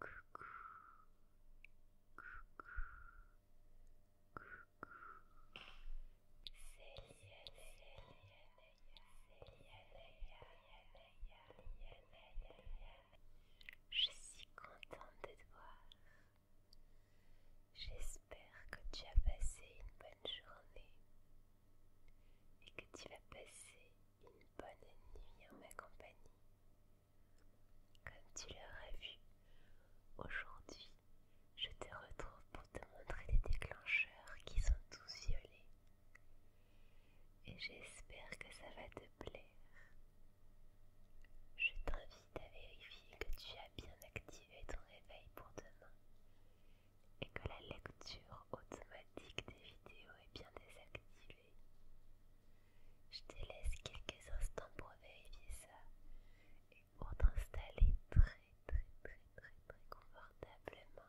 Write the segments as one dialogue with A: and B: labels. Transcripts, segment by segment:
A: Coucou. Coucou. Je suis contente de te voir. J'espère que tu as passé une bonne journée et que tu vas passer une bonne nuit en ma compagnie. Comme tu l'auras vu, aujourd'hui, je te retrouve pour te montrer les déclencheurs qui sont tous violés Et j'espère que ça va te plaire. Je t'invite à vérifier que tu as bien activé ton réveil pour demain et que la lecture automatique des vidéos est bien désactivée. Je te laisse quelques instants pour vérifier ça et pour t'installer très très très très très confortablement.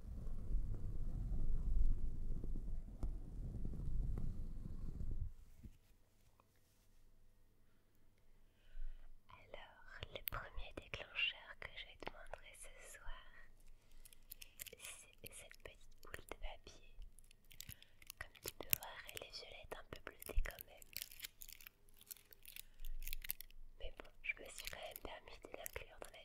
A: Alors, le premier déclencheur que je montrer ce soir, c'est cette petite boule de papier. Comme tu peux voir, elle est violette, un peu bleutée quand même. Mais bon, je me suis quand même permis de l'inclure dans la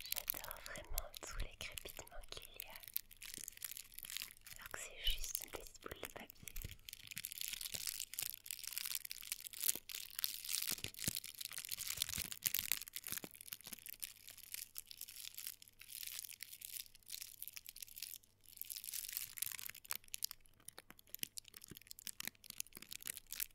A: J'adore vraiment tous les crépitements qu'il y a, alors que c'est juste des petite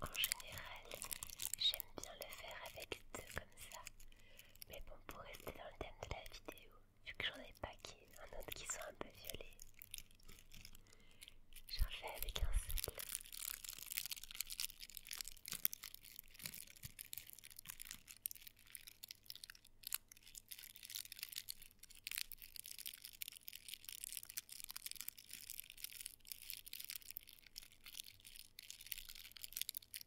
A: En général, j'aime bien le faire avec deux comme ça, mais bon, pour rester dans le thème de la vidéo, vu que j'en ai pas un autre qui soit un peu violet, j'en fais avec un seul.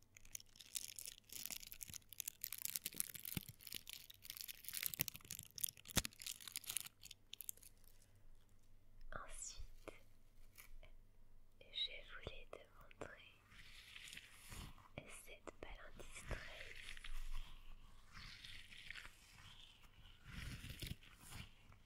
A: Ensuite, je voulais te montrer cette balandistrelle.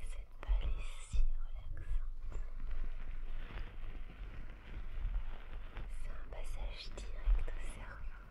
A: Cette balle est si relaxante. C'est un passage direct au cerveau.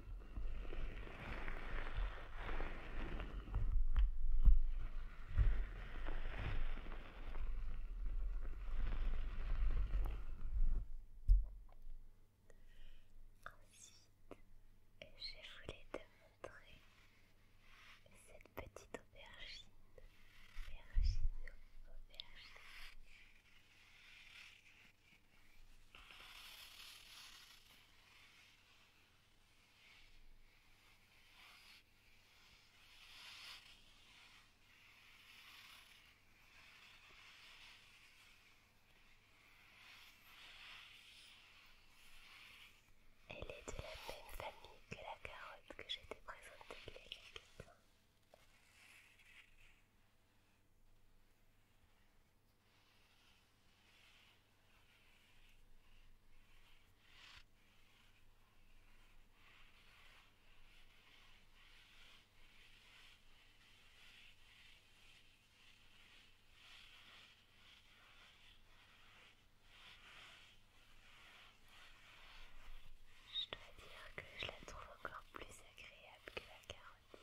A: Ensuite, je voulais te montrer cette petite aubergine. Aubergine, aubergine. Elle est de la même famille que la carotte que je présentée je dois dire que je la trouve encore plus agréable que la carotte.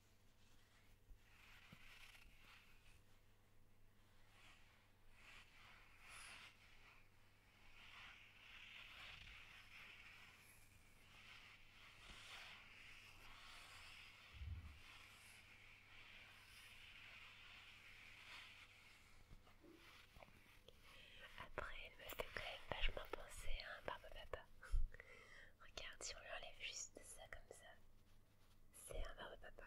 A: Après, elle me fait quand même vachement penser à un papa. Regarde, si on lui enlève juste ça comme ça, c'est un verre de papa.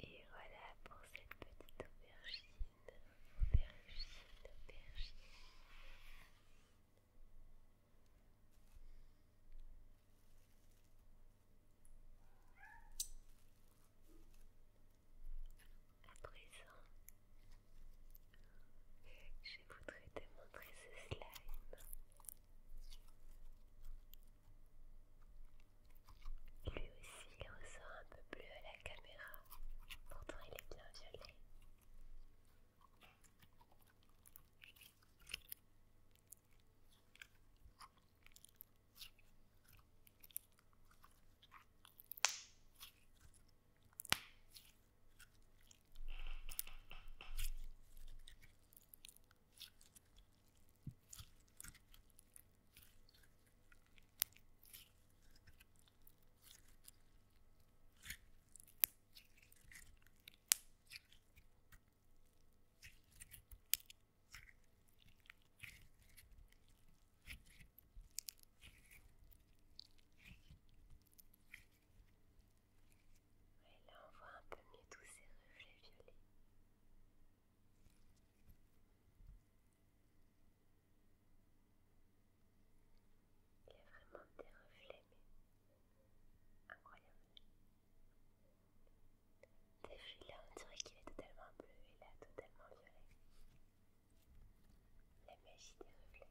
A: Et voilà pour cette petite aubergine aubergine, aubergine. À présent, je voudrais te montrer ce slime. Lui aussi, il ressort un peu bleu à la caméra. Pourtant, il est bien violet là on voit un peu mieux tous ces reflets violets. Il y a vraiment des reflets, mais incroyable, des fils là, on dirait qu'il est totalement bleu et là, totalement violet. La magie des reflets.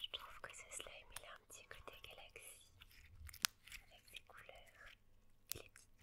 A: Je trouve que ce slime il a un petit côté galaxie avec ses couleurs et les petites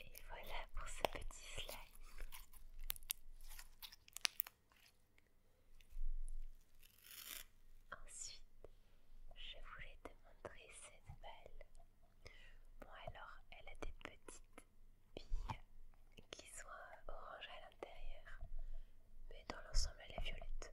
A: Et voilà pour ce petit slime. Ensuite, je voulais te montrer cette balle Bon alors, elle a des petites billes qui sont orange à l'intérieur, mais dans l'ensemble elle est violette.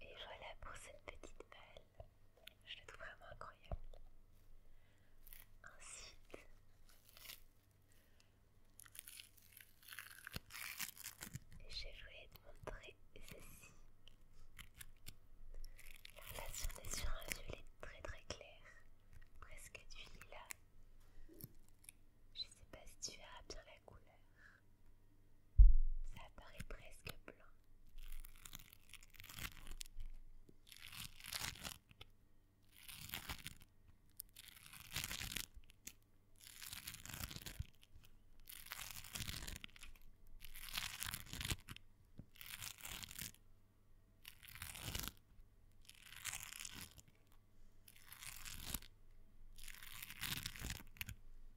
A: Et voilà pour cette petite balle. Je la trouve vraiment incroyable. Ensuite, je voulais te montrer ceci. La là, est sur un violet très très clair, presque du lilas. Je sais pas si tu verras bien la couleur. Ça paraît presque blanc.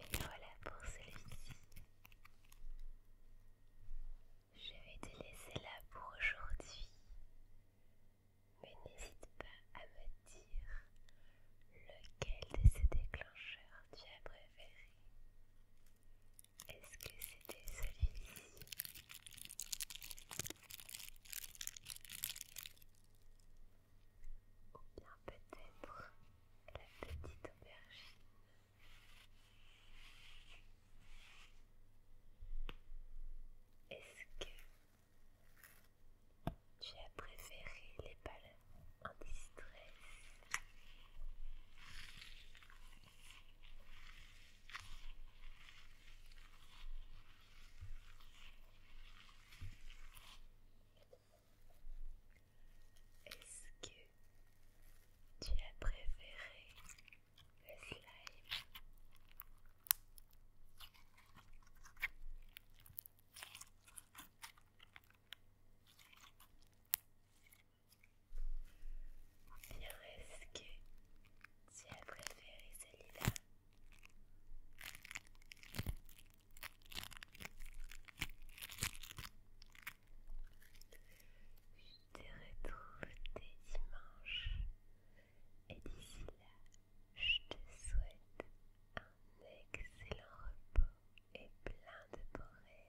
A: Et voilà pour celui-ci. Je vais te laisser là pour aujourd'hui. Mais n'hésite pas à me dire lequel de ces déclencheurs tu as préféré. Est-ce que c'était celui-ci ou bien peut-être la petite aubergine. Est-ce que tu as préféré les balles en distress est-ce que tu as préféré le slime est-ce que tu as préféré celui-là je te retrouve dès dimanche et d'ici là, je te souhaite un excellent repos et plein de beaux rêves.